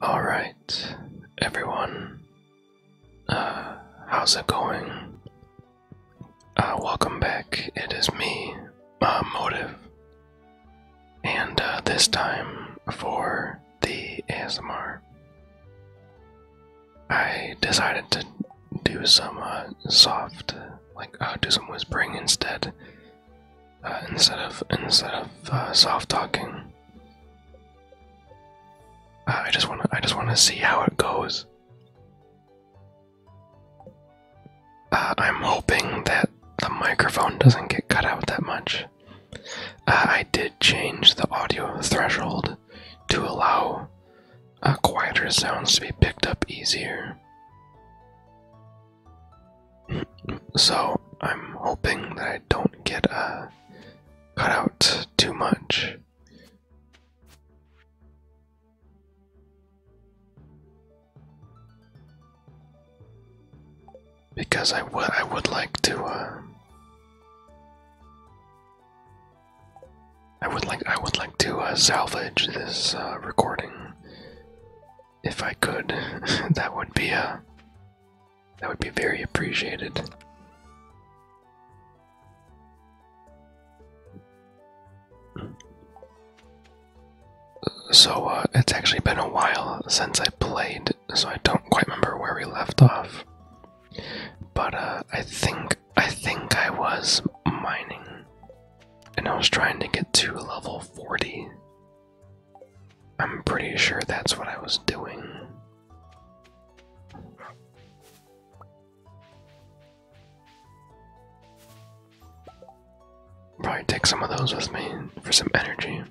All right, everyone. Uh, how's it going? Uh, welcome back. It is me, uh, Motive, and uh, this time for the ASMR, I decided to do some uh, soft, like uh, do some whispering instead, uh, instead of instead of uh, soft talking. Uh, I just want to I just want to see how it goes. I'm hoping that the microphone doesn't get cut out that much. I did change the audio threshold to allow uh, quieter sounds to be picked up easier so I'm hoping that I don't get uh, cut out too much. Because I would I would like to uh, I would like I would like to uh, salvage this uh, recording if I could. that would be a that would be very appreciated. So, uh, it's actually been a while since I played, so I don't quite remember where we left off. But, uh, I think, I think I was mining, and I was trying to get to level 40, I'm pretty sure that's what I was doing. Probably take some of those with me for some energy.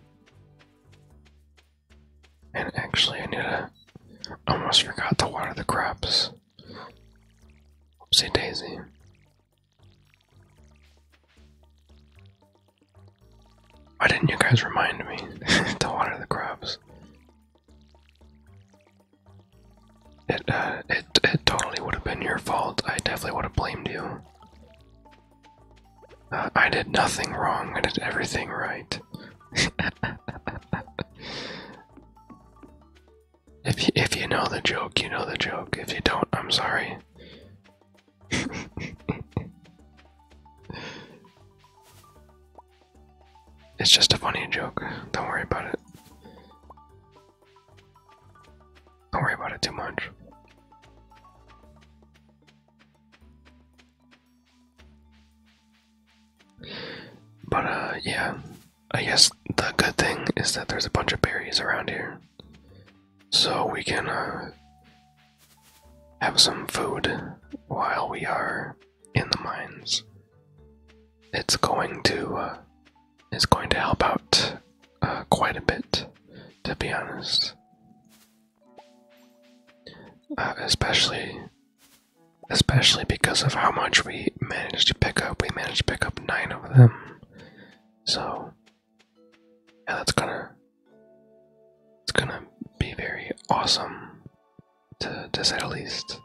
And actually, I need to. Almost forgot to water the crops. Oopsie daisy. Why didn't you guys remind me to water the crops? It, uh, it, it totally would have been your fault. I definitely would have blamed you. Uh, I did nothing wrong. I did everything right. if if you know the joke, you know the joke. If you don't, I'm sorry. it's just a funny joke. Don't worry about it. Don't worry about it too much. But, uh, yeah. I guess the good thing is that there's a bunch of berries around here. So we can, uh, have some food while we are in the mines. It's going to uh, it's going to help out uh, quite a bit, to be honest. Uh, especially, especially because of how much we managed to pick up. We managed to pick up nine of them, so yeah, that's gonna it's gonna be very awesome to to say the least.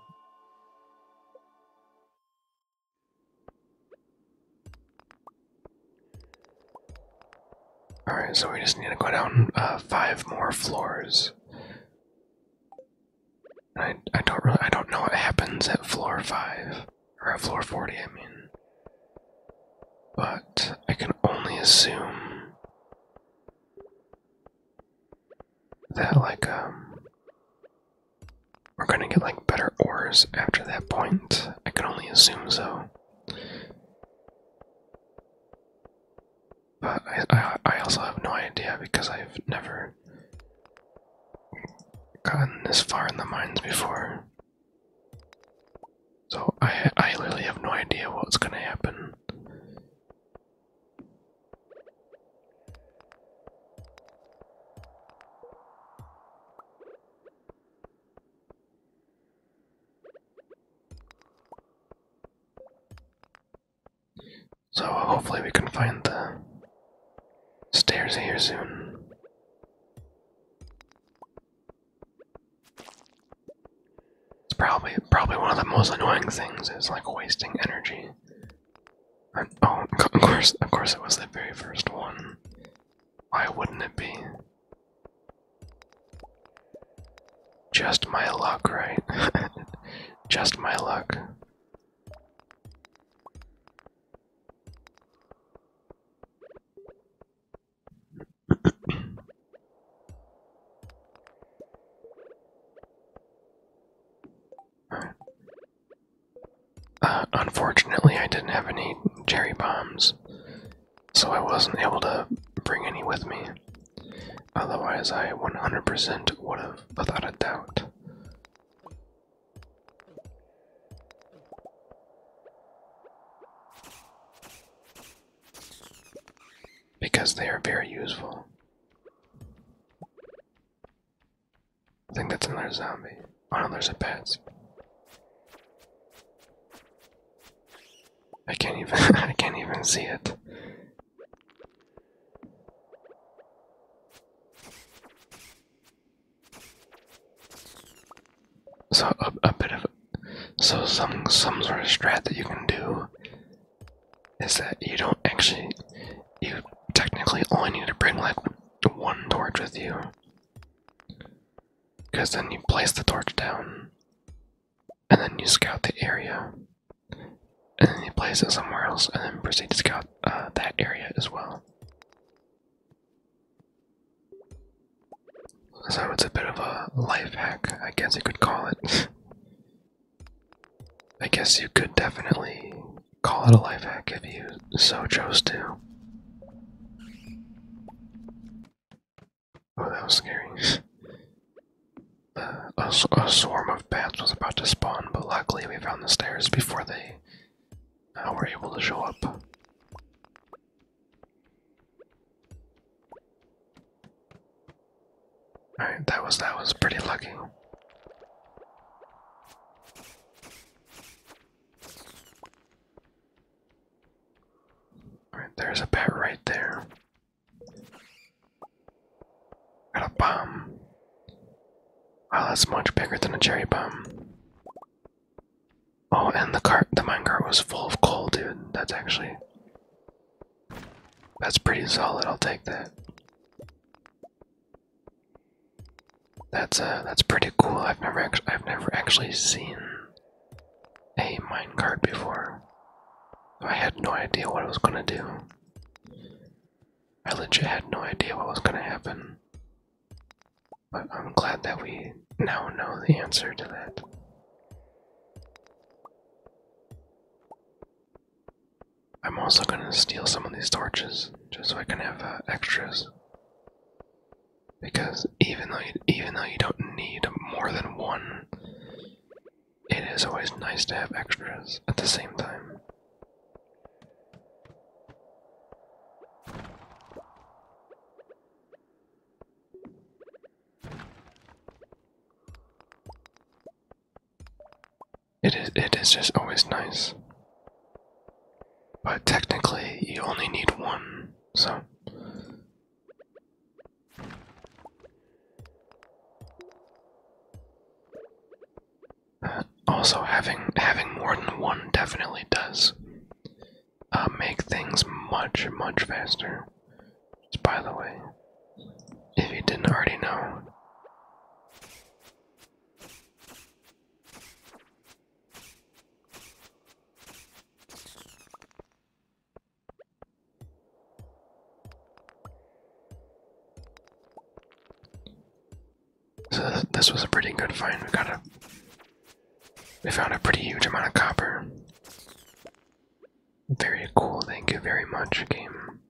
Alright, so we just need to go down uh, five more floors. I I don't really I don't know what happens at floor five or at floor forty. I mean, but I can only assume that, like, um, we're gonna get, like, better ores after that point. I can only assume so. But I, I, also have no idea because I've never gotten this far in the mines before. So I I literally have no idea what's gonna happen. So hopefully we can find the stairs here soon. It's probably probably one of the most annoying things is like wasting energy. oh, of course, of course, it was the very first one. Why wouldn't it be? Just my luck, right? Just my luck. Uh, unfortunately, I didn't have any cherry bombs, so I wasn't able to bring any with me. Otherwise, I 100% would have, without a doubt because they are very useful. I think that's another zombie. Oh no, there's a pet. I can't even I can't even see it. So a, bit of so some some sort of strat that you can do is that you don't actually you technically only need to bring like one torch with you because then you place the torch down and then you scout the area and then you place it somewhere else and then proceed to scout uh, that area as well so it's a bit of a life hack, I guess you could call it. I guess you could definitely call it a life hack if you so chose to. Oh, that was scary. Uh, a, swarm of bats was about to spawn, but luckily we found the stairs before they Now uh, we're able to show up. Alright, that was that was pretty lucky. Alright, there's a bat right there. Got a bomb. Wow, that's much bigger than a cherry bomb. Oh, and the cart, the mine cart was full of coal, dude. That's actually. That's pretty solid. I'll take that. That's uh, that's pretty cool. I've never actually, I've never actually seen a mine cart before. I had no idea what I was gonna do. I legit had no idea what was gonna happen. But I'm glad that we now know the answer to that. I'm also gonna steal some of these torches just so I can have uh, extras. Because even though even though you don't need more than one, it is always nice to have extras at the same time. It is, it is just always nice. But technically, you only need one, so. Uh, also, having having more than one definitely does uh, make things much, much faster. Just by the way, if you didn't already know. So this was a pretty good find. We got a, we found a pretty huge amount of copper. Very cool, thank you very much, game.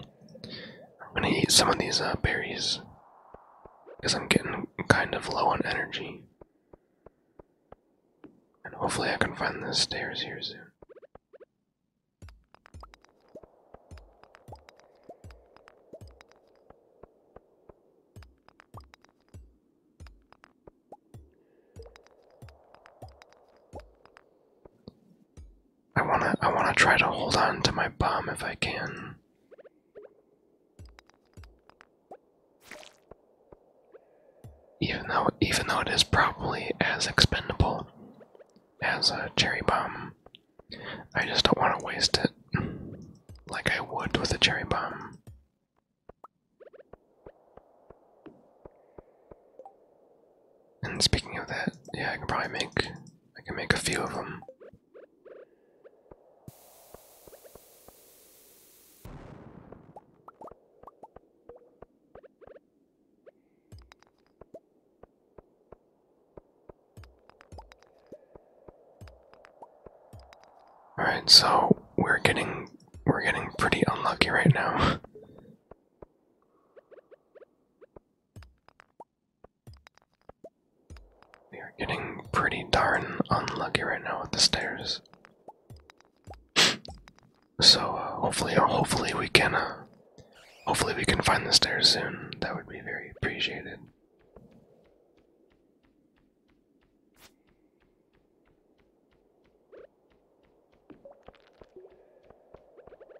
I'm gonna eat some of these uh, berries because I'm getting kind of low on energy. And hopefully, I can find the stairs here soon. I wanna I wanna try to hold on to my bomb if I can. Even though even though it is probably as expendable as a cherry bomb. I just don't want to waste it like I would with a cherry bomb. And speaking of that, yeah, I can probably make I can make a few of them. All right, so we're getting we're getting pretty unlucky right now. we are getting pretty darn unlucky right now with the stairs. So uh, hopefully, uh, hopefully we can, uh, hopefully we can find the stairs soon. That would be very appreciated.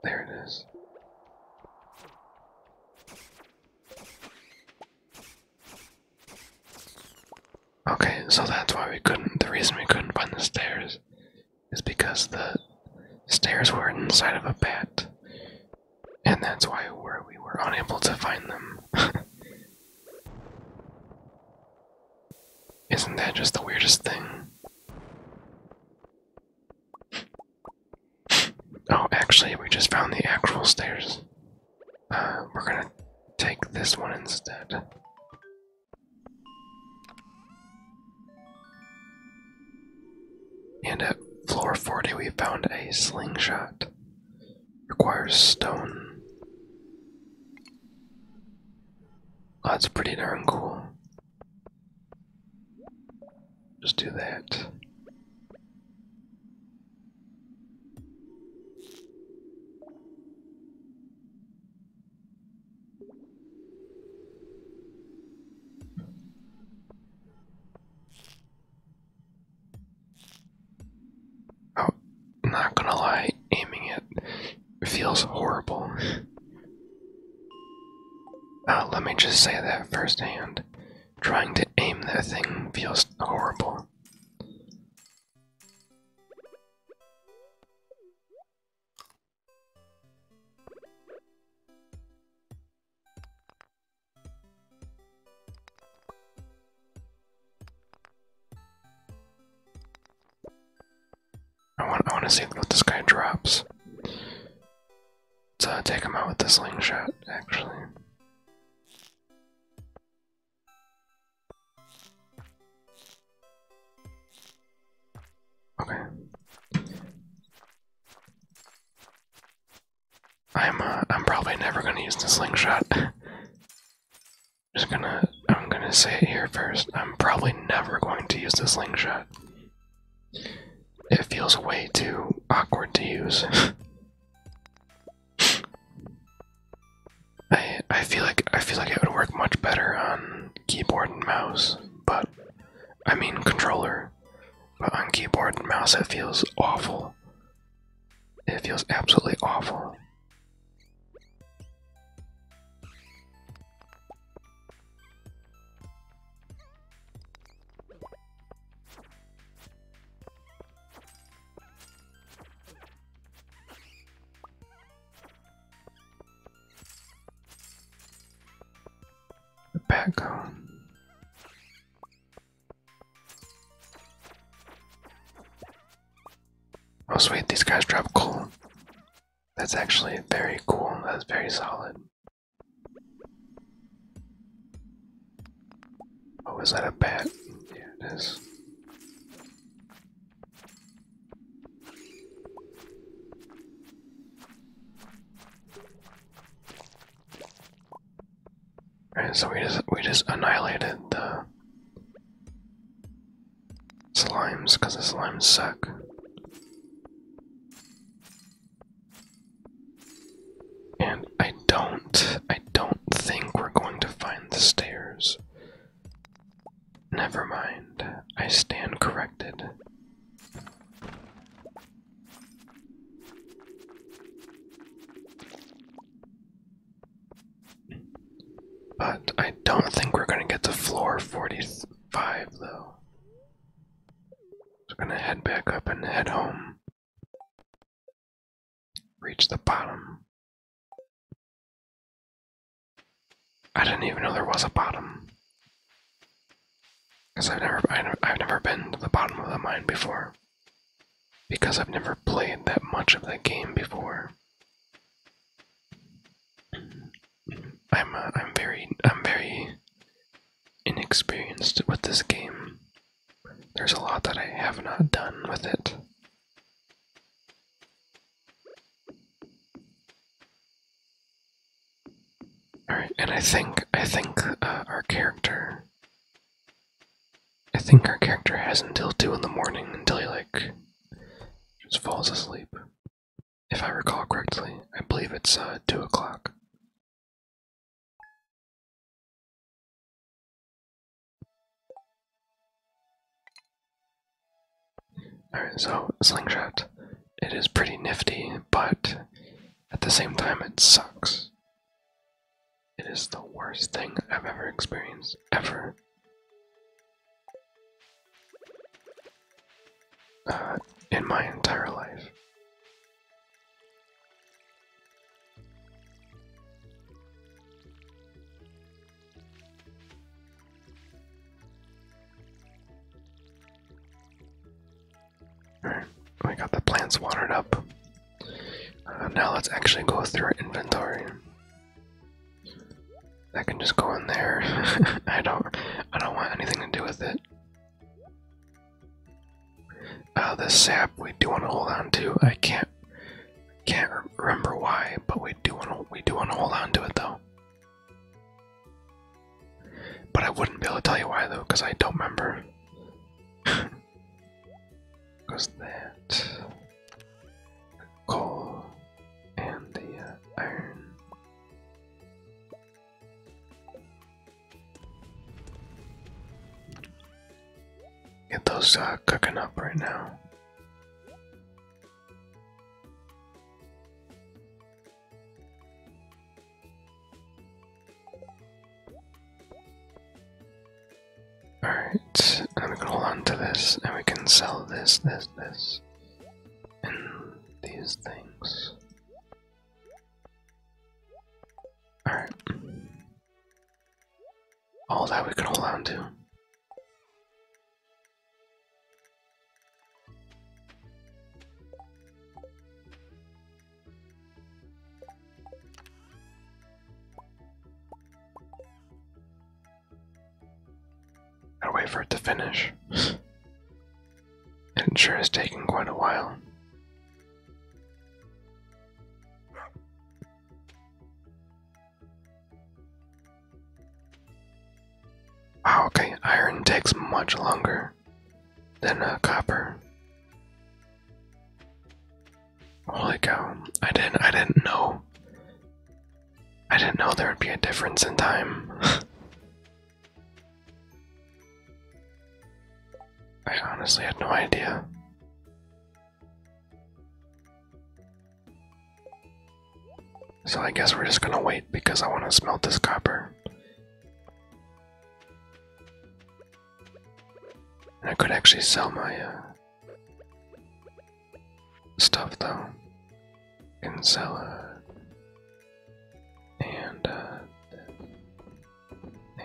There it is. Okay, so that's why we couldn't, the reason we couldn't find the stairs is because the stairs were inside of a bat and that's why we were unable to find them. Isn't that just the weirdest thing? Oh, actually, we just found the actual stairs. Uh, we're gonna take this one instead. And at floor 40, we found a slingshot. Requires stone. That's ah, pretty darn cool. Just do that. Oh, not gonna lie, aiming it feels horrible. Uh, let me just say that firsthand. Trying to aim that thing feels horrible. I want, to see what this guy drops. let take him out with the slingshot, actually. Okay. I'm uh, I'm probably never gonna use the slingshot. Just gonna I'm gonna say it here first. I'm probably never going to use the slingshot. It feels way too awkward to use. I I feel like I feel like it would work much better on keyboard and mouse, but I mean controller. But on keyboard and mouse, it feels awful. It feels absolutely awful. Back home. Oh sweet, these guys drop coal. That's actually very cool. That's very solid. Oh, is that a bat? Yeah, it is so we just we just annihilated the slimes because the slimes suck. And I don't I don't think we're going to find the stairs. Never mind. I stand corrected. But I don't think we're gonna get to floor 45 though. So we're gonna head back up and head home. Reach the bottom. I didn't even know there was a bottom. Because I've never, I've never been to the bottom of the mine before. Because I've never played that much of that game before. I'm, uh, I'm very, I'm very inexperienced with this game. There's a lot that I have not done with it. All right, and I think I think uh, our character I think our character has until two in the morning until he like just falls asleep. If I recall correctly, I believe it's uh, two o'clock. Alright, so Slingshot. It is pretty nifty, but at the same time, it sucks. It is the worst thing I've ever experienced, ever. Uh, in my entire life. Alright, we got the plants watered up. Uh, now let's actually go through our inventory. I can just go in there. I don't I don't want anything to do with it. Uh, the sap we do want to hold on to. I can't can't remember why, but we do want we do want to hold on to it though. But I wouldn't be able to tell you why though, because I don't remember. Because the coal and the uh, iron. Get those uh, cooking up right now. Alright, let me hold on to this, and we can sell this, this, this, and these things. Alright. All that we can hold on to got wait for it to finish. it sure is taking quite a while. Wow, ah, okay, iron takes much longer than uh, copper. Holy cow! I didn't. I didn't know. I didn't know there would be a difference in time. I honestly had no idea. So I guess we're just gonna wait because I want to smelt this copper. I could actually sell my uh, stuff though. I can sell uh, and uh,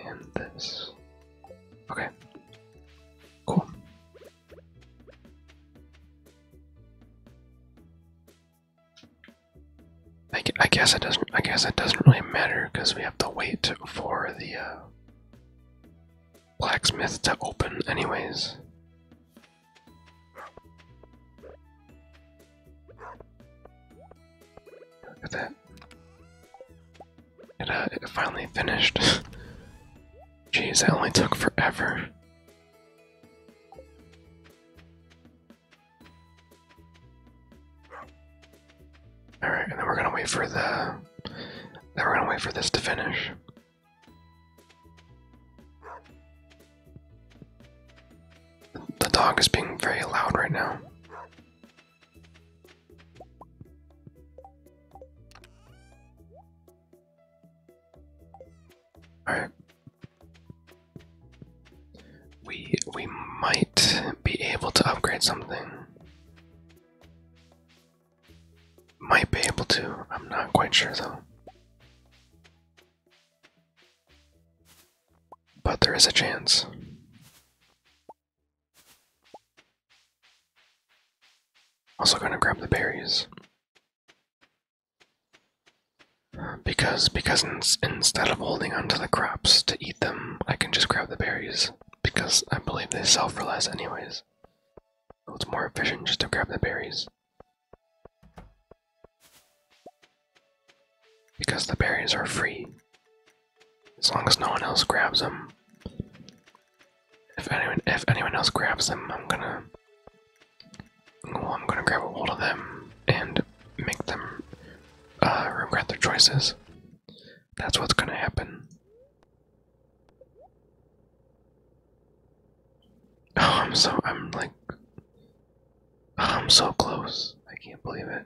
and this. Okay. Cool. I, guess it doesn't. I guess it doesn't really matter because we have to wait for the uh, blacksmith to open, anyways. Look at that. it uh, finally finished. Jeez, that only took forever. All right, and then we're gonna wait for the. Then we're gonna wait for this to finish. The dog is being very loud right now. All right. We we might be able to upgrade something. Might be able to. I'm not quite sure though. But there is a chance. Also gonna grab the berries. Because because instead of holding onto the crops to eat them, I can just grab grab the berries because I believe they sell for less anyways. it's more efficient just to grab the berries. Because the berries are free. As long as no one else grabs them. If anyone if anyone else grabs them, I'm gonna well, I'm gonna grab a hold of them and make them uh, regret their choices. That's what's gonna happen. Oh, I'm so I'm like oh, I'm so close. I can't believe it.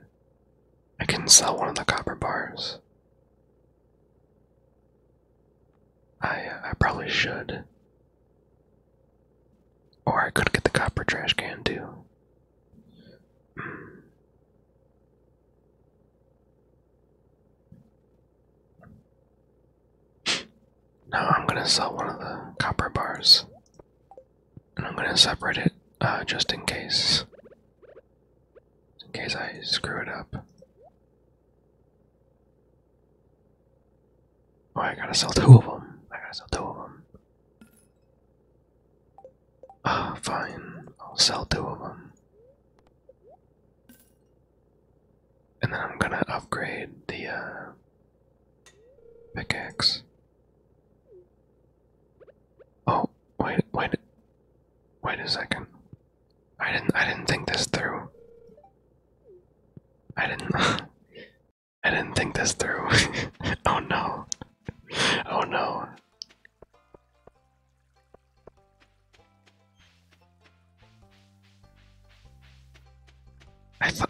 I can sell one of the copper bars. I I probably should. Or I could get the copper trash can too. Now I'm gonna sell one of the copper bars, and I'm gonna separate it uh, just in case, in case I screw it up. Oh, I gotta sell two of them. I gotta sell two of them. Ah, fine. I'll sell two of them. And then I'm gonna upgrade the uh, pickaxe. Oh, wait, wait, wait a second. I didn't, I didn't think this through. I didn't, I didn't think this through. oh no, oh no.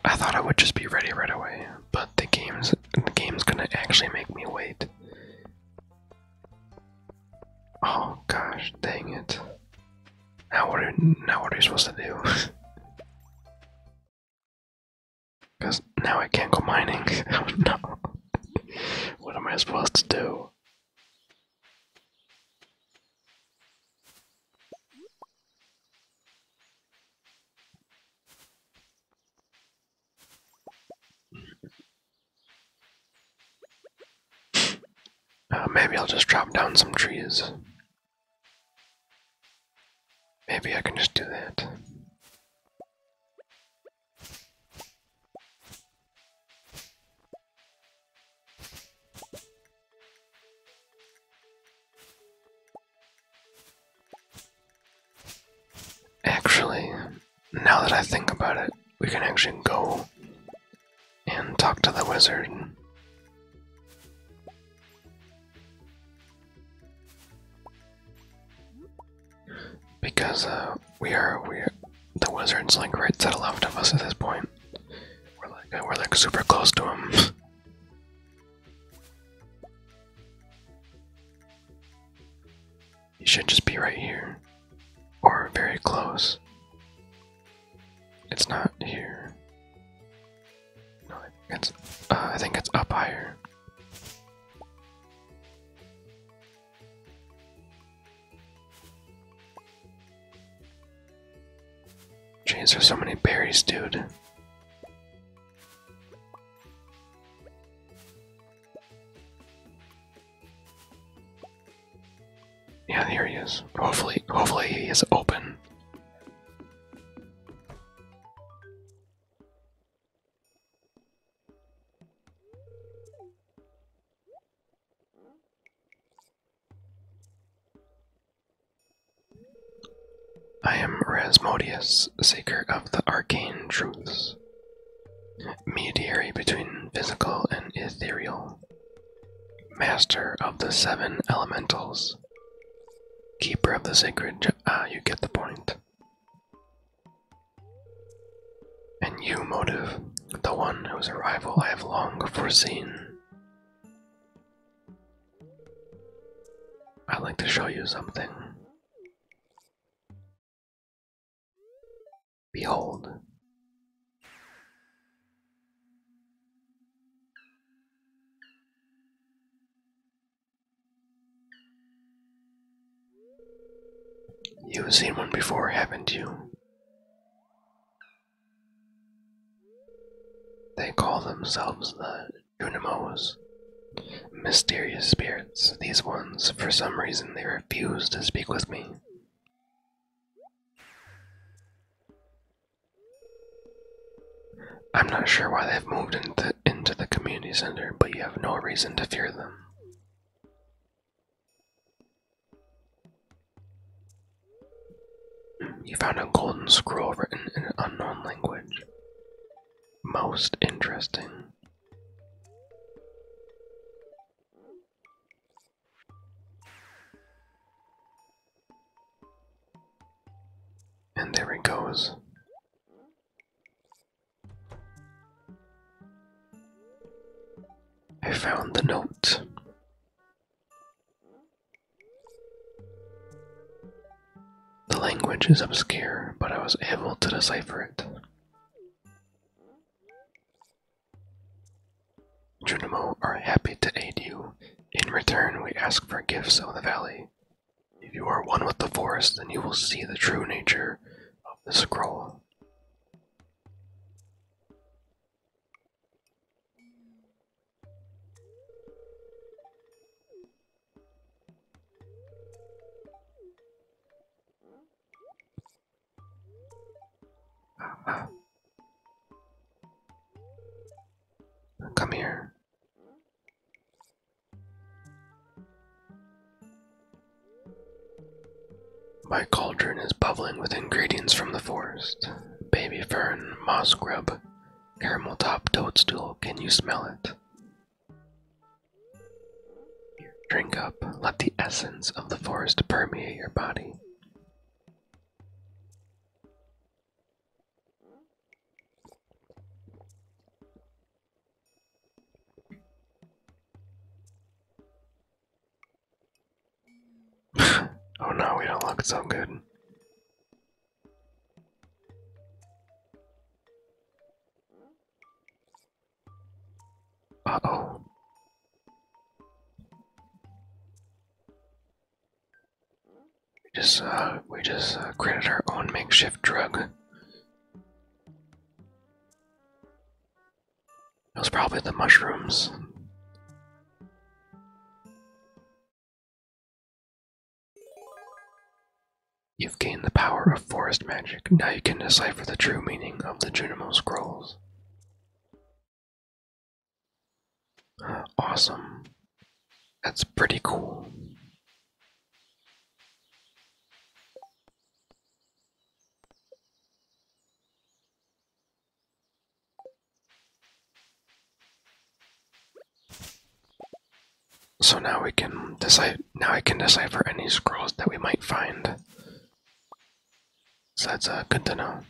I, thought I would just be ready right away, but the game's the game's gonna actually make me wait. Oh gosh, dang it! Now what now what are you supposed to do? Because now I can't go mining. no. what am I supposed to do? Uh, maybe I'll just drop down some trees. Maybe I can just do that. Actually, now that I think about it, we can actually go and talk to the wizard. Because uh, we are we the wizard's like right to the left of us at this point. We're like uh, we're like super close to him. he should just be right here, or very close. It's not here. No, it's uh, I think it's up higher. Jeez, there's so many berries, dude. Yeah, here he is. Hopefully, hopefully he is open. I am Rasmodius, seeker of the arcane truths, mediator between physical and ethereal, master of the seven elementals, keeper of the sacred. Ah, you get the point. And you, Motive, the one whose arrival I have long foreseen. I'd like to show you something. Behold. You've seen one before, haven't you? They call themselves the Junimos. Mysterious spirits, these ones, for some reason they refuse to speak with me. I'm not sure why they've moved into into the community center, but you have no reason to fear them. You found a golden scroll written in an unknown language. Most interesting. And there it goes. I found the note. The language is obscure, but I was able to decipher it. Junimo are happy to aid you. In return, we ask for gifts of the valley, if you are one with the forest, then you will see the true nature of the scroll. Come here. My cauldron is bubbling with ingredients from the forest baby fern, moss grub, caramel top toadstool. Can you smell it? Drink up, let the essence of the forest permeate your body. oh no, we don't look so good. Uh oh. We just uh, we just uh, created our own makeshift drug. It was probably the mushrooms. You've gained the power of forest magic. Now you can decipher the true meaning of the Junimo scrolls. Awesome. That's pretty cool. So now we can decide now I can decipher any scrolls that we might find. So that's uh, good to know.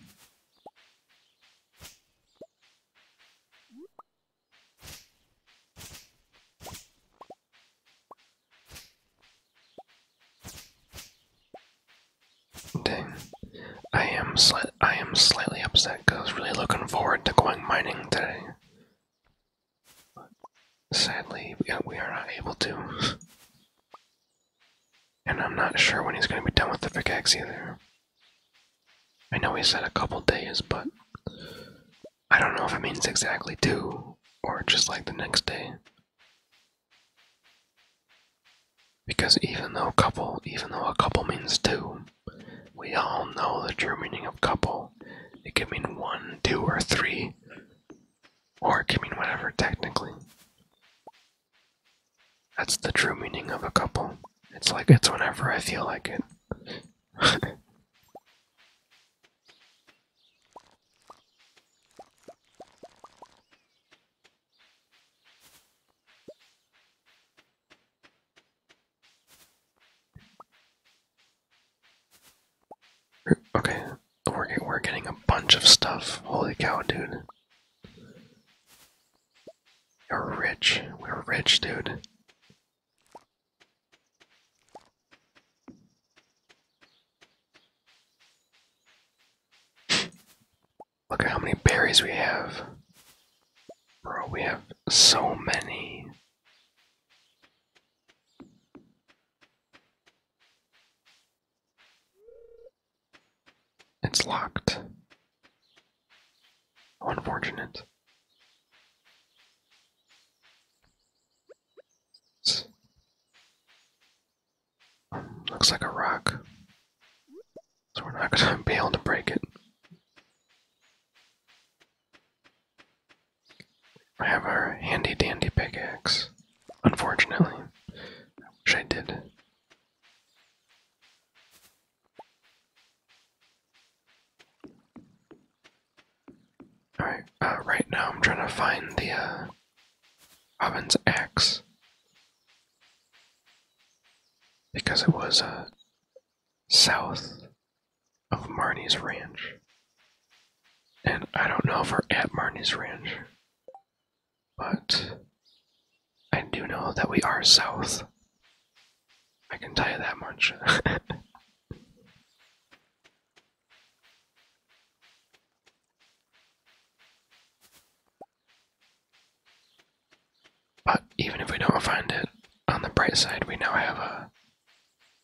Dang. I am I am slightly upset because I was really looking forward to going mining today. sadly, we are not able to. And I'm not sure when he's going to be done with the big pickaxe either. I know he said a couple days, but I don't know if it means exactly two or just like the next day. Because even though couple, even though a couple means two, we all know the true meaning of couple. It can mean one, two, or three, or it can mean whatever technically. That's the true meaning of a couple. It's like it's whenever I feel like it. Okay, we're, we're getting a bunch of stuff. Holy cow, dude. We're rich. We're rich, dude. Look at how many berries we have. Bro, we have so many. It's locked. unfortunate. Looks like a rock. So we're not going to be able to break it. I have our handy dandy pickaxe. Unfortunately. I wish I did. Alright, uh, right now I'm trying to find the uh, Robin's axe. Because it was uh, south of Marnie's ranch. And I don't know if we're at Marnie's ranch, but I do know that we are south. I can tell you that much. But even if we don't find it, on the bright side, we now have a uh,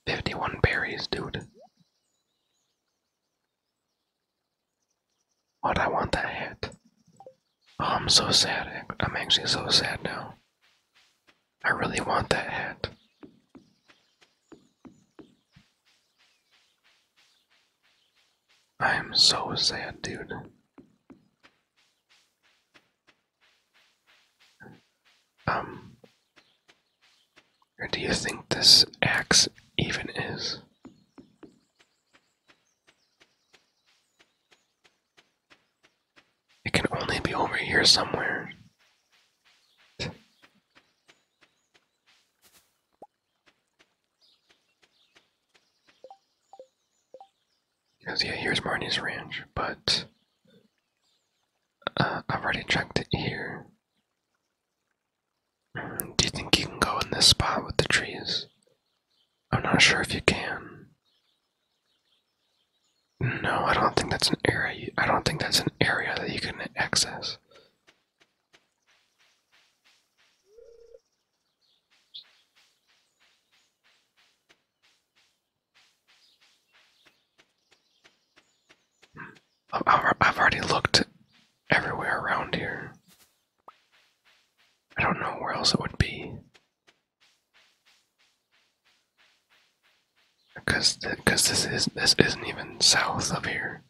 51 berries, dude. What I want that hat. Oh, I'm so sad. I'm actually so sad now. I really want that hat. I am so sad, dude. Um, or do you think this axe even is? It can only be over here somewhere. Because yeah, here's Marnie's ranch, but uh, I've already checked it here. Mm, do you think you can go in this spot with the trees? I'm not sure if you can. No, I don't think that's an area. I don't think that's an area that you can access. I've already looked everywhere around here. I don't know where else it would be. Cause, cause this is this isn't even south of here.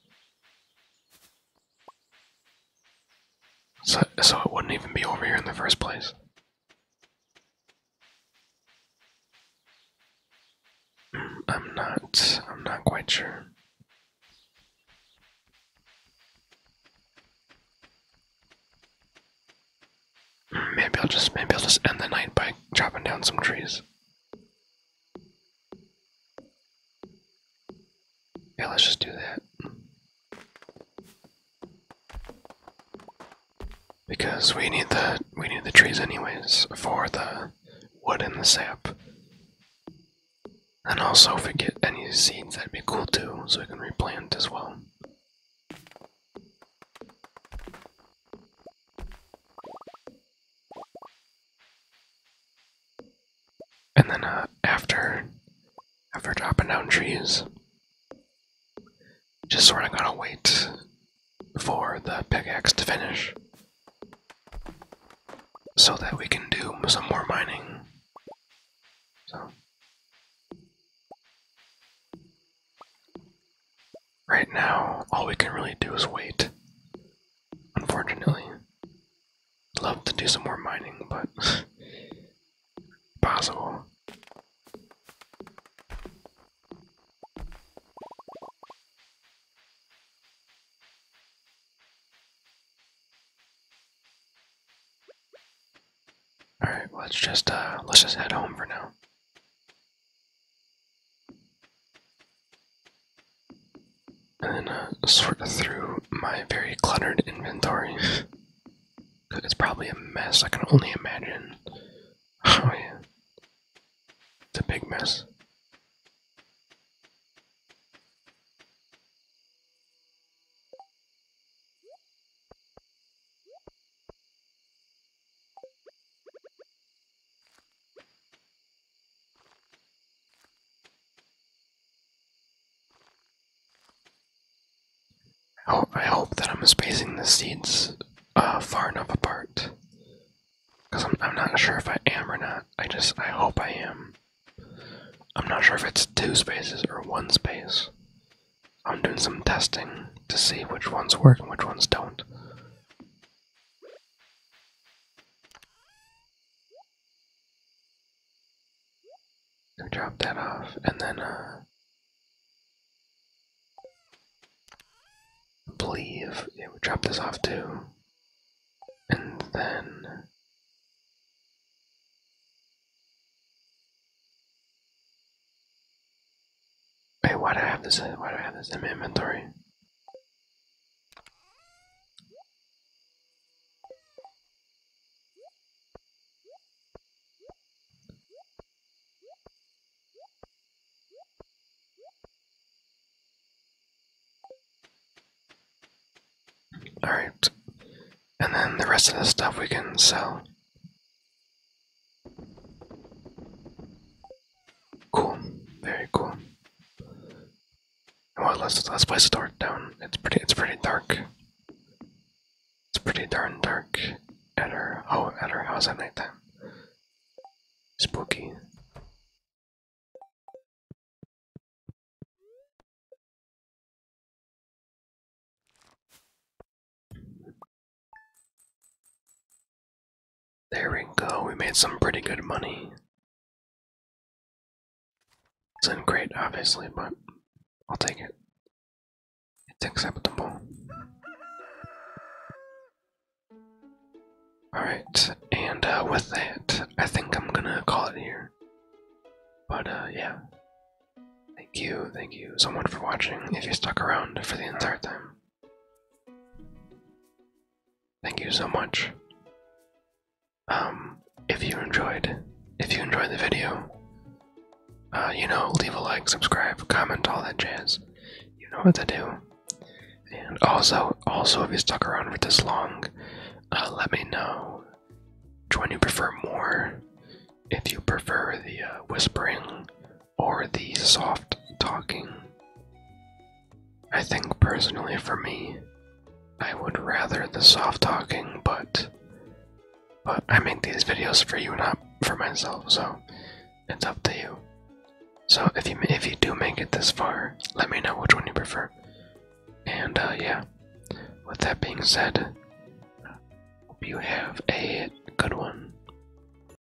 So, so it wouldn't even be over here in the first place. Mm, I'm not. I'm not quite sure. Maybe I'll just maybe I'll just end the night by chopping down some trees. Yeah, let's just do that. Because we need the we need the trees anyways for the wood and the sap. And also if we get any seeds that'd be cool too, so we can replant as well. And then uh, after after dropping down trees, just sort of going to wait for the pickaxe to finish so that we can do some more mining. So Right now, all we can really do is wait. Unfortunately. Love to do some more mining, but possible. All right, let's just uh, let's just head home for now. And uh, sort through my very cluttered inventory. it's probably a mess, I can only imagine. Oh, yeah. It's a big mess. I hope, that I'm spacing the seeds uh, far enough apart. Because I'm not sure if I am or not. I just, I hope I am. I'm not sure if it's two spaces or one space. I'm doing some testing to see which ones work and which ones don't. And drop that off, and then, uh, believe yeah, we drop this off too, and then. Hey, why do I have this? Why do I have this in my inventory? Alright. And then the rest of the stuff we can sell. Cool. Very cool. Well, let's let's place the dark down. It's pretty. It's pretty dark. It's pretty darn dark at our oh at our house at nighttime. Spooky. There we go, we made some pretty good money. It's not great, obviously, but I'll take it. It's acceptable. Alright, and uh, with that, I think I'm gonna call it here. But uh, yeah. Thank you, thank you so much for watching if you stuck around for the entire time. Thank you so much. Um, if you enjoyed, if you enjoyed the video, uh, you know, leave a like, subscribe, comment, all that jazz. You know what to do. And also, also if you stuck around for this long, uh, let me know which one you prefer more. If you prefer the uh, whispering or the soft talking. I think personally for me, I would rather the soft talking, but but I make these videos for you, not for myself, so it's up to you. So if you if you do make it this far, let me know which one you prefer. And uh, yeah, with that being said, hope you have a good one.